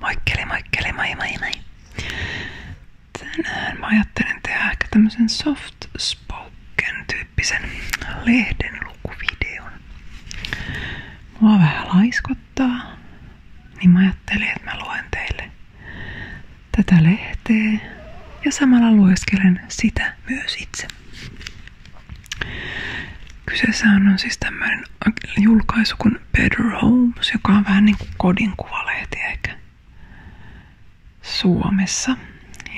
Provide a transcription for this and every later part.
Moikkeli, moikkeli, moi moi moi. soft spoken tyyppisen lehden lukuvideon. Mua vähän laiskottaa, niin mä ajattelin, että tätä lehteä ja samalla lueskelen sitä myös itse. Kyseessä on siis tämmöinen julkaisu kuin on Better Homes, joka on vähän niin kuin kodin kuvalehti ehkä Suomessa.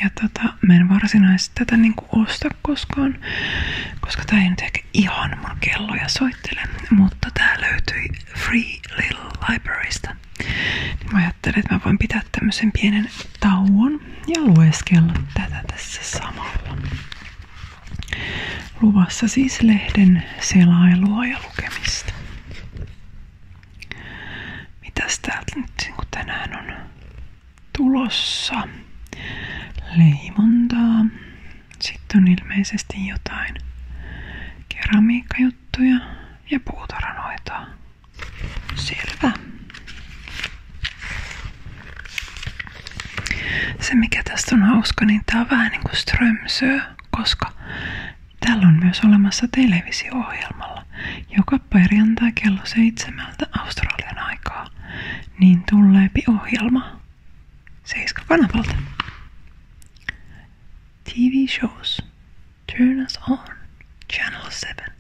Ja tota, mä en varsinaisesti tätä niin kuin osta koskaan, koska tää ei nyt ehkä ihan mun kelloja soittele, mutta tää löytyi Free Little Librarysta. Niin mä ajattelin, että mä voin pitää tämmöisen pienen tauon ja lueskella tätä tässä samalla. Luvassa siis lehden selailua ja lukemista. Mitäs täältä nyt niin kun tänään on tulossa? Leimontaa. Sitten on ilmeisesti jotain keramiikkajuttuja ja puutaranoita. Selvä. Se mikä tästä on hauska, niin tää on vähän niin kuin strömsöö, koska täällä on myös olemassa televisio-ohjelmalla, joka perjantai kello seitsemältä Australian aikaa, niin tulee ohjelma Seiska kanavalta. TV shows. Turn us on. Channel 7.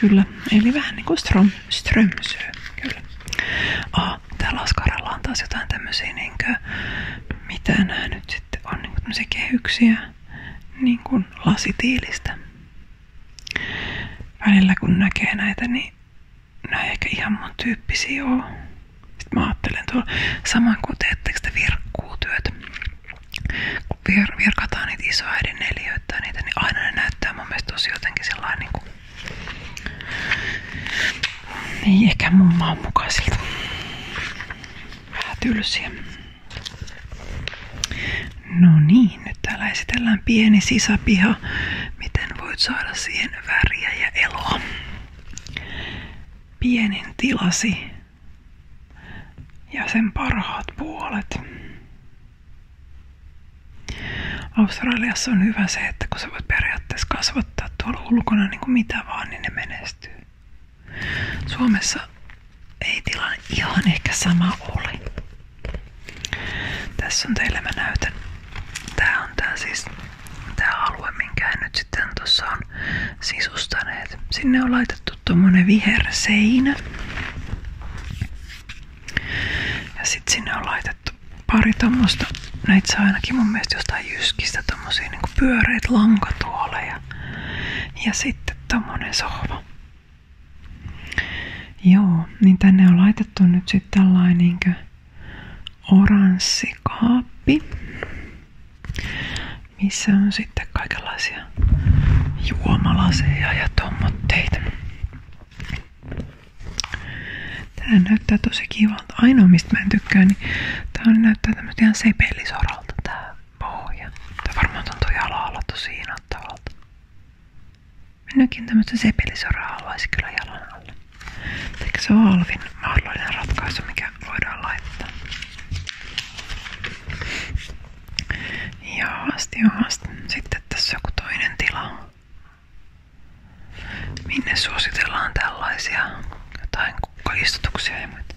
Kyllä, eli vähän niinku ström, strömsö, kyllä. Ah, täällä Askaralla on taas jotain tämmöisiä, mitä nämä nyt sitten on, niin kuin kehyksiä niin kuin kun näkee näitä, niin nämä ei ehkä ihan mun tyyppisiä oo. Sitten mä ajattelen kuin teettekö te virkataan niitä isoäidin neliöitä niitä, niin aina ne näyttää mun mielestä tosi jotenkin sellainen niin ei ehkä mun maan mukaisilta. Vähän tylsiä. No niin, nyt täällä esitellään pieni sisäpiha. Miten voit saada siihen väriä ja eloa? Pienin tilasi ja sen parhaat puolet. Australiassa on hyvä se, että kun sä voit periaatteessa kasvattaa tuolla ulkona niin kuin mitä vaan, niin ne menestyy. Suomessa ei tilanne ihan ehkä sama ole. Tässä on teille mä näytän. Tää on tää siis tää alue, minkä he nyt sitten tuossa on sisustaneet. Sinne on laitettu tuommoinen viherseinä. Ja sit sinne on laitettu pari tommosta, näitä saa ainakin mun mielestä jostain jyskistä tommosia niinku pyöreitä lankatuoleja. Ja sitten tommonen sohva. Joo, niin tänne on laitettu nyt sitten tällainen niinkö oranssi kaappi, missä on sitten kaikenlaisia juomalaseja ja tommotteita. Tää näyttää tosi kivalta. Ainoa mistä mä en tykkää, niin tää näyttää tämmöstä ihan sepellisoralta tää pohja. Tää varmaan tuntuu jala-alla tosi innoittavalta. Minäkin tämmöstä sepellisoraa haluaisi kyllä jalan alle. Ehkä se on alvin mahdollinen ratkaisu, mikä voidaan laittaa. asti Jaasti, asti, Sitten tässä joku toinen tila. Minne suositellaan tällaisia jotain kukkaistutuksia ja muita.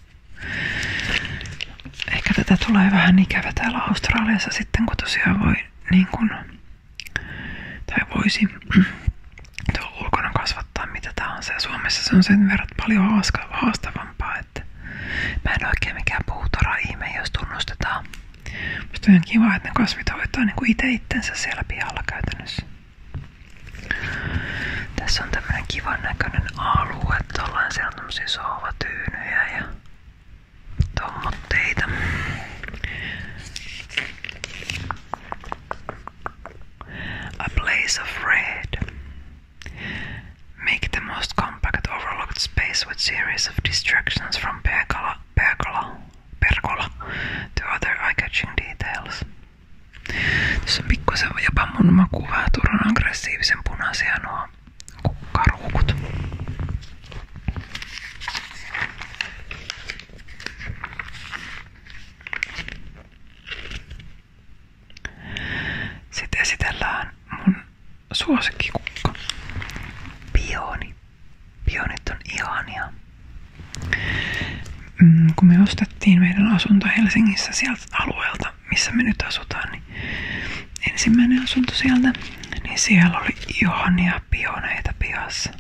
Ehkä tätä tulee vähän ikävä täällä Australiassa sitten, kun tosiaan voi niin kun, tai voisi tuolla ulkona kasvattaa mitä tahansa. Ja Suomessa se on sen verran paljon haastavampaa, että mä en oikein mikään puutora ihme, jos tunnustetaan Musta on kiva, että ne kasvit hoitaa niin kuin itse itsensä siellä pihalla käytännössä. Tässä on tämmönen kivan näköinen alue. Tuollainen siellä on tämmösiä sohvatyynyjä ja tommotteita. A place of red. Make the most compact overlooked space with series of distractions from pergola, pergola perkola. The eye-catching details. Tässä on pikkusen jopa mun makuvää turhan aggressiivisen punaisia nuo kukkaruukut. Sitten esitellään mun suosikkikukka, Pioni. Pionit on ihania. Mm, kun me ostettiin meidän asunto Helsingissä sieltä alueelta, missä me nyt asutaan, niin ensimmäinen asunto sieltä, niin siellä oli ihania pioneita pihassa.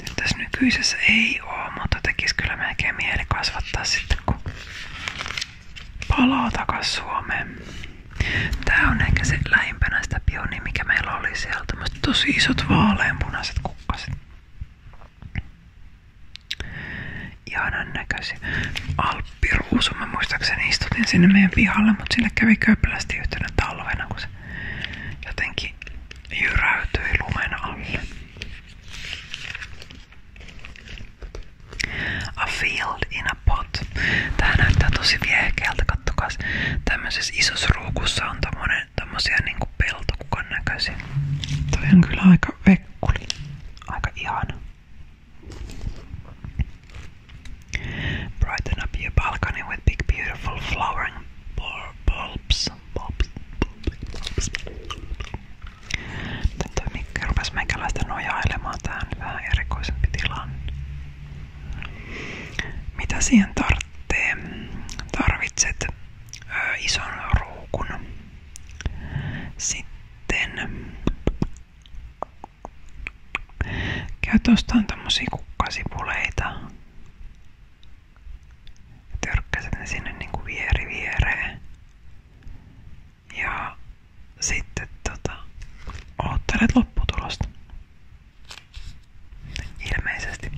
Nyt tässä nykyisessä ei ole, mutta tekisi kyllä melkein mieli kasvattaa sitten, kun palaa takas Suomeen. Tää on ehkä se lähimpänä sitä pionia, mikä meillä oli sieltä, Tämmöiset tosi isot vaaleanpunaiset kukkaset. Ihanan näköisiä. Alppiruusu, mä muistaakseni istutin sinne meidän pihalle, mutta sille kävi köplästi yhtenä talvena, kun se jotenkin jyräytyi lumen alle. A field in a pot. Tää näyttää tosi viehkeältä, kattokaa. Tämmöisessä isossa ruukussa on tommonen, tommosia niinku peltokukan näköisiä. Toi on kyllä aika vekkuli. Aika ihana. Brighten up your balcony with big beautiful flowering bulbs. bulbs. bulbs. Nyt toi Mikki rupes meikäläistä nojailemaan tähän vähän erikoisempi tilanne. Mitä siihen tarvitsee? Tarvitset ö, ison ruukun. Sitten käyt ostamaan tämmösiä kukkasipuleita. Törkkäset ne sinne niinku vieri viereen. Ja sitten tota, oottelet lopputulosta. Ilmeisesti.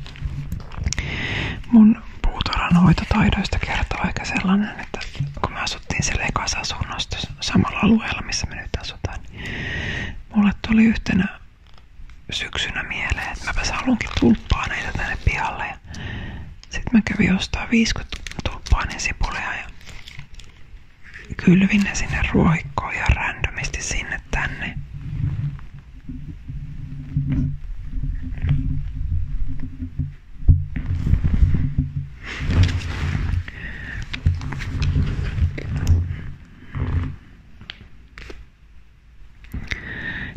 Mun puutarhanhoitotaidoista kertoo aika sellainen, että kun me asuttiin silleen kasasunnosta samalla alueella, missä me nyt asutaan, niin mulle tuli yhtenä syksynä mieleen, että mäpäs haluankin tulppaa näitä tänne pihalle. Ja sitten mä kävin ostaa 50 tulppaa ja ja kylvin ne sinne ruohikkoon ja randomisti sinne tänne.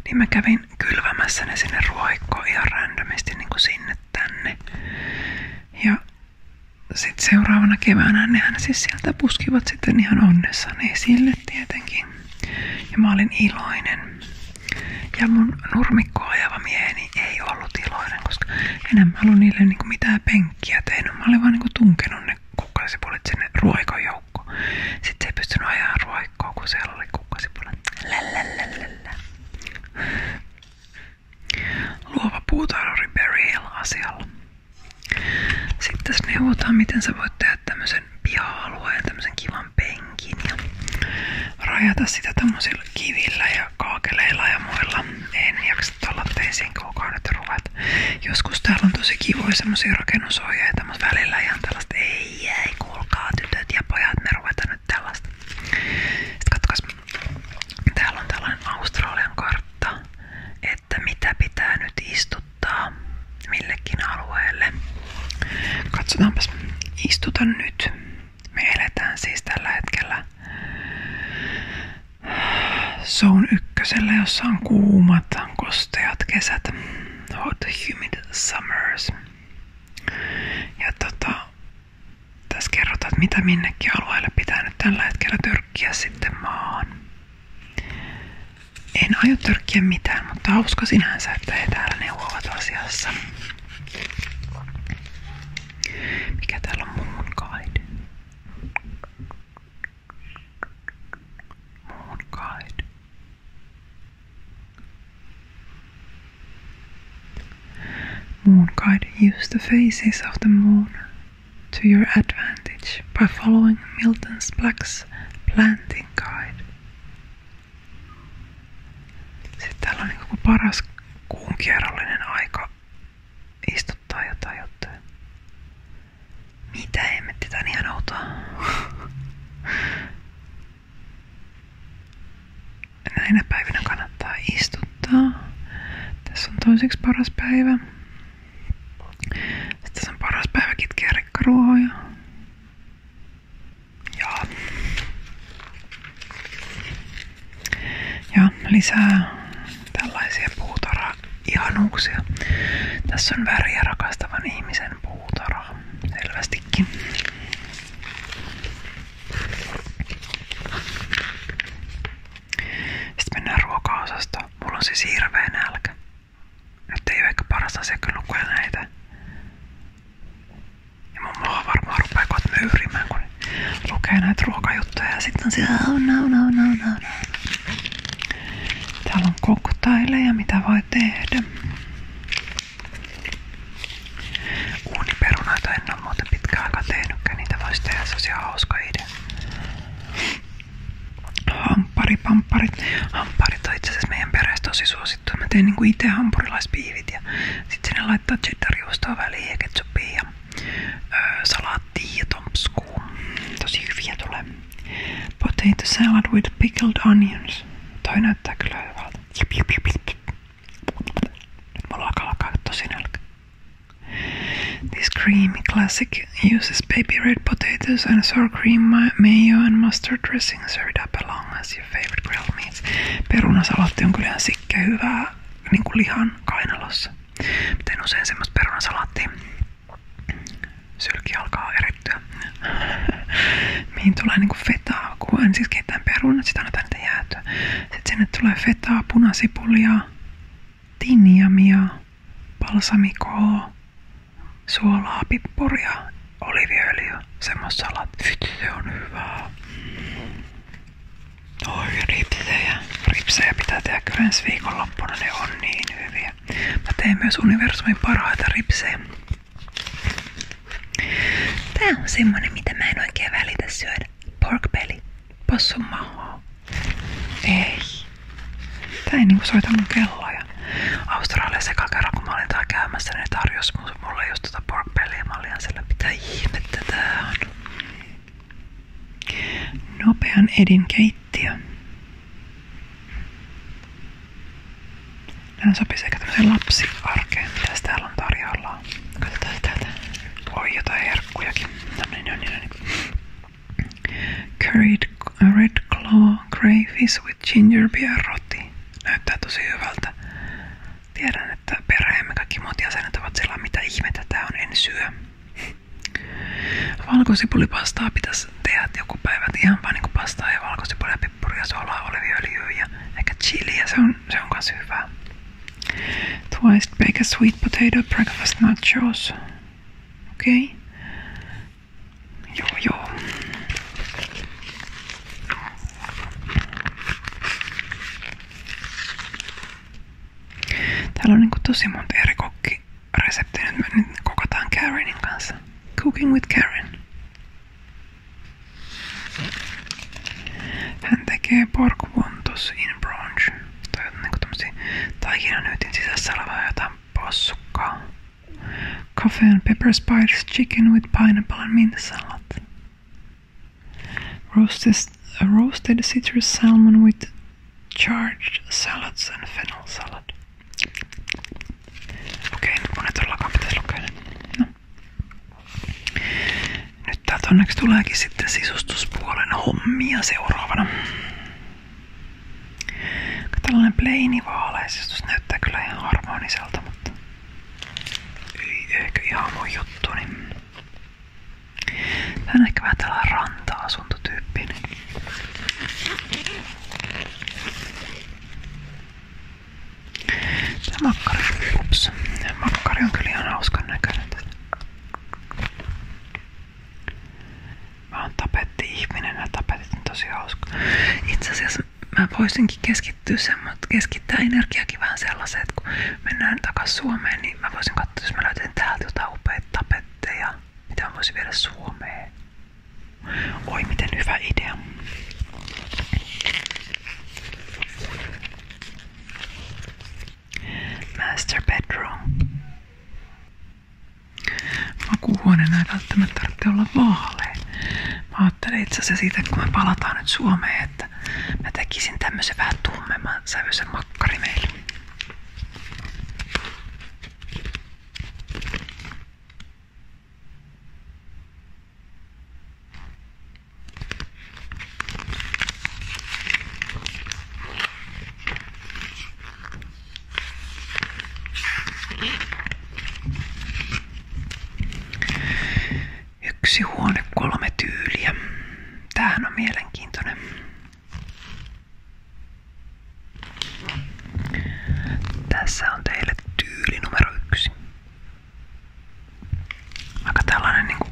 Niin mä kävin kylvämässä ne sinne ruoikkoon ihan randomisti niin kuin sinne tänne. Ja sitten seuraavana keväänä nehän siis sieltä puskivat sitten ihan onnessani sille tietenkin. Ja mä olin iloinen. Ja mun nurmikko ajava mieheni ei ollut iloinen, koska enää mä ollut niille niinku mitään penkkiä tehnyt. Mä olin vaan niinku tunkenut ne kukkasipulit sinne ruoikon Sitten se ei pystynyt ajaa ruoikkoa, kun siellä oli kukkasipulit. Lälälälälä luova puutarhuri Barry Hill asialla. Sitten neuvotaan, miten sä voit tehdä tämmöisen piha-alueen, tämmöisen kivan penkin ja rajata sitä tämmöisillä kivillä ja kaakeleilla ja muilla. En jaksa tuolla teisiin kuukaudet ruvet. Joskus täällä on tosi kivoja semmoisia rakennusohjeita, mutta välillä ihan tällaista ei, ei, kuulkaa tytöt ja pojat, me ruvetaan nyt tällaista. Sitten katsokas, Täällä on tällainen Australian kartta, että mitä pitää nyt istuttaa millekin alueelle. Katsotaanpas, istuta nyt. Me eletään siis tällä hetkellä Zone ykkösellä, jossa on kuumat, kosteat kesät, hot humid summers. Ja tota, tässä kerrotaan, että mitä minnekin alueelle pitää nyt tällä hetkellä tyrkkiä sitten maahan. En aio tyrkkiä mitään, mutta hauska sinänsä, että he täällä neuvovat asiassa. Mikä täällä on muun guide? Moon guide. Moon guide use the faces of the moon to your advantage by following Milton Black's Planting Guide. Sitten täällä on niin paras kuun kierrollinen aika istuttaa jotain juttuja. Mitä emmetti tän ihan outoa? Näinä päivinä kannattaa istua muistuttaa. Tässä on toiseksi paras päivä. Sitten tässä on paras päivä kitkeä rekkaruohoja. Ja. ja lisää tällaisia puutarha ihanuuksia. Tässä on väriä rakastavan ihmisen puutarha. Selvästikin. Sitten mennään ruokaosastoon. Mulla on siis hirveä nälkä. Nyt ei ole ehkä paras asia varmaan rupeaa kohta kun lukee näitä ruokajuttuja. on siellä, no, no, no, no, no. Täällä on koktaileja, mitä voi tehdä. Uuniperunoita en en ole muuten pitkään aikaa tehnytkään, niitä voisi tehdä, se olisi ihan hauska idea. Hampari, pamparit. Hamparit on itse asiassa meidän perheessä tosi suosittu. Mä teen niinku itse hampurilaispiivit ja sit sinne laittaa cheddarjuustoa väliin ja ketsuppia ja öö, salaattia ja tomskuu. Tosi hyviä tulee. Potato salad with pickled onions. Toi näyttää kyllä hyvältä. Nyt mulla alkaa alkaa tosi nälkä. This creamy classic uses baby red potatoes and sour cream, mayo and mustard dressing served up along as your favorite grilled meats. Perunasalaatti on kyllä sikkä hyvä, niin kuin lihan kainalossa. Miten usein semmoista perunasalaattia sylki alkaa erittyä. Mihin tulee niinku fetaa, kun ensin siis keitetään perunat, sitä annetaan niitä jäätyä. Sitten sinne tulee fetaa, punasipulia, tinjamia, balsamikoa, suolaa, pippuria, oliviöljyä, semmoista salat. Se on hyvää. Oi, ripsejä. Ripsejä pitää tehdä kyllä ensi viikonloppuna, ne on niin hyviä. Mä teen myös universumin parhaita ripsejä. Tää on semmonen, mitä mä en oikein välitä syödä. Pork belly. Passu Ei. Tää ei niinku soita mun kelloa. Ja Australiassa eka kerran kun mä olin täällä käymässä, niin tarjosi mulle just tota pork bellyä. Mä olin siellä, mitä ihmettä tää on. Nopean edin keittiö. Nämä sopii sekä tämmöiseen lapsiarkeen, mitä täällä on tarjolla. Joo. Katsotaan täältä. Oi jotain herkkujakin. Noni, noni, noni. Curried red claw crayfish with ginger beer roti. Näyttää tosi hyvältä. Tiedän, että perheemme kaikki muut jäsenet ovat sillä, mitä ihmettä tää on, en syö. Valkosipulipastaa pitäisi tehdä joku päivä, ihan vaan niinku pastaa ja valkosipulia, pippuria, suolaa, oliviöljyä ja ehkä chiliä. Se on Twice baked sweet potato breakfast nachos. Okay. Joo, joo. Täällä on niinku tosi monta eri kokkireseptiä. Cooking with Karen. Hän tekee porkvontus in bronze. Tai niinku tämmösiä taikinanyytin sisässä olevaa jotain possukkaa. Coffee and pepper spiced chicken with pineapple and mint salad. Roasted, uh, roasted citrus salmon with charged salads and fennel salad. Okei, okay, nyt mun ei todellakaan pitäisi lukea. No. Nyt täältä onneksi tuleekin sitten sisustuspuolen hommia seuraavana. Tällainen pleinivaalaisustus näyttää kyllä ihan harmoniselta, mutta ei ehkä ihan mun juttu. Niin... Tää on ehkä vähän tällainen ranta-asuntotyyppinen. Niin Tämä makkari, ups, makkari on kyllä ihan hauskan näköinen. Mä oon tapetti-ihminen ja tapetit on tosi hauska. Itse asiassa mä voisinkin keskittyä mutta keskittää energiakin vähän sellaiseen, että kun mennään takas Suomeen, niin mä voisin katsoa, jos mä löytän täältä jotain upeita tapetteja, mitä mä voisin viedä Suomeen. Oi, miten hyvä idea. Master bedroom. Makuuhuoneen ei välttämättä tarvitse olla vaalea. Mä ajattelin itse asiassa siitä, kun me palataan nyt Suomeen, että mä tekisin tämmöisen vähän tummemman sävyisen makkari meille. Yksi huone, kolme tyyliä. Tämähän on mielenkiintoinen. Tässä on teille tyyli numero yksi aika tällainen niinku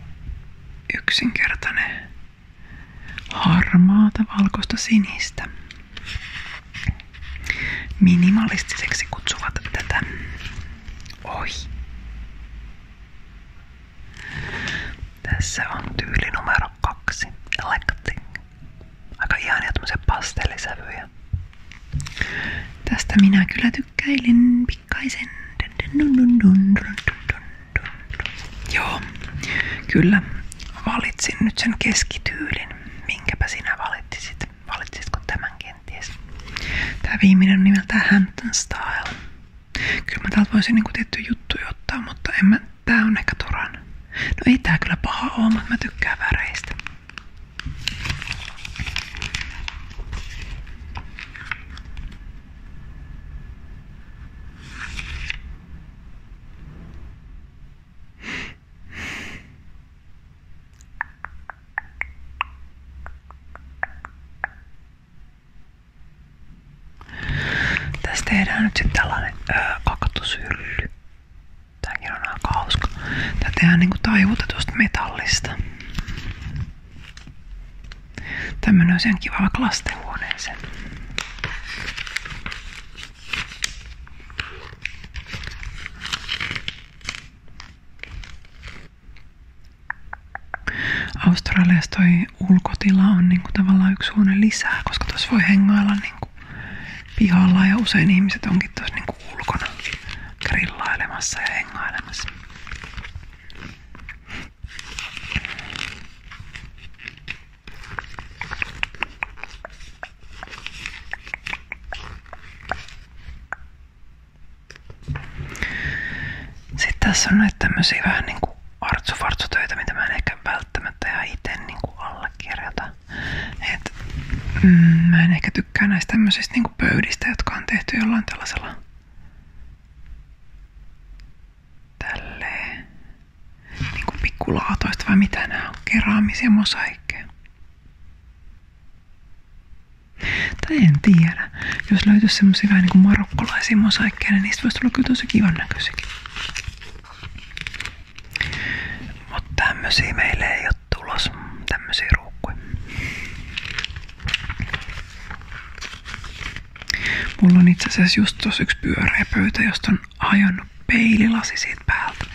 yksinkertainen harmaata valkoista sinistä. Minimalistiseksi kutsuvat tätä. Oi. Tässä on tyyli numero kaksi. Electing. Aika ihania tämmöisiä pastellisävyjä. Tästä minä kyllä tykkäilin pikkaisen. Joo, kyllä valitsin nyt sen keskityylin. Minkäpä sinä valitsisit? Valitsitko tämän kenties? Tämä viimeinen on nimeltään Hampton Style. Kyllä mä täältä voisin niinku tiettyjä juttuja ottaa, mutta en mä, tää on ehkä toran. No ei tää kyllä paha oo, mutta mä tykkään väreistä. Tästä tehdään nyt sitten tällainen öö, kaktushylly. Tämäkin on aika hauska. Tätä tehdään niinku taivutetusta metallista. Tämmönen on sen kiva vaikka lastenhuoneeseen. Australiassa toi ulkotila on niinku tavallaan yksi huone lisää, koska tuossa voi hengailla niinku pihalla ja usein ihmiset onkin tuossa niinku ulkona grillailemassa ja hengailemassa. Sitten tässä on näitä tämmöisiä vähän niinku artsufartsutöitä, mitä mä en ehkä välttämättä ihan itse niinku allekirjoita. Et, mm, mä en ehkä tykkää näistä tämmöisistä kuin niinku pöydistä, jotka on tehty jollain tällaisella tälleen niinku pikkulaatoista vai mitä nämä on, keraamisia mosaikkeja. en tiedä. Jos löytyisi semmosia vähän niinku marokkolaisia mosaikkeja, niin niistä voisi tulla kyllä tosi kivan näköisiäkin. Mutta tämmösiä meille ei ole tulos. Tämmösiä ruukkuja. Mulla on itse asiassa just tossa yksi pyöreä pöytä, josta on hajonnut peililasi siitä päältä.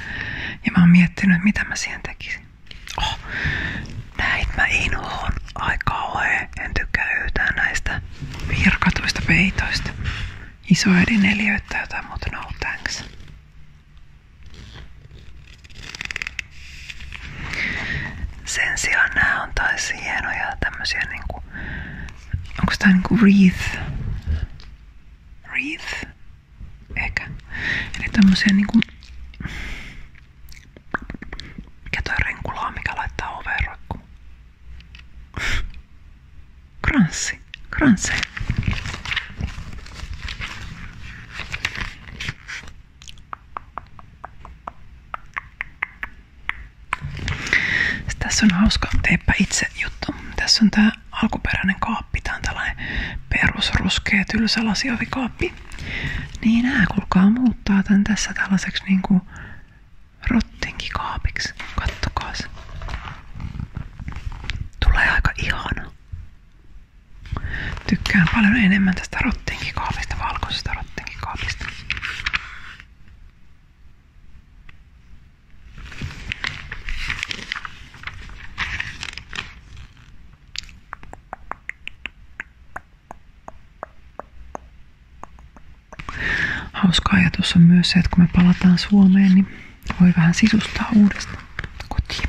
Ja mä oon miettinyt, mitä mä siihen tekisin. Oh, näit mä inhoon. aika kauhea. En tykkää yhtään näistä virkatuista peitoista. Isoäidin neliöitä jotain muuta, no thanks. Sen sijaan nämä on taas hienoja tämmösiä niinku... Onko tää niinku wreath? Wreath? Ehkä. Eli tämmösiä niinku... Mikä toi renkulaa, mikä laittaa oveen roikku? Kranssi. Kranssi tässä on hauska teepä itse juttu. Tässä on tää alkuperäinen kaappi. Tää on tällainen perusruskea tylsä lasiohvikaappi. Niin nää kulkaa muuttaa tän tässä tällaiseksi niinku rottinkikaapiksi. Kattokaas. Tulee aika ihana. Tykkään paljon enemmän tästä rottinkikaapista, valkoisesta rottinkikaapista. Hauska ajatus on myös se, että kun me palataan Suomeen, niin voi vähän sisustaa uudestaan kotiin.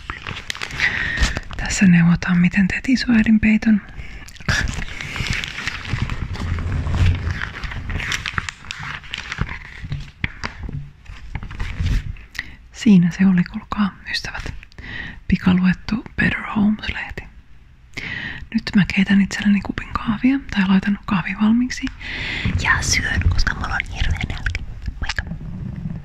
Tässä neuvotaan, miten teet isoäidin peiton. Siinä se oli, kuulkaa ystävät. Pikaluettu Better Homes-lehti. Nyt mä keitän itselleni kupin kahvia tai laitan kahvi valmiiksi ja syön, koska mulla on hirveä nälkä.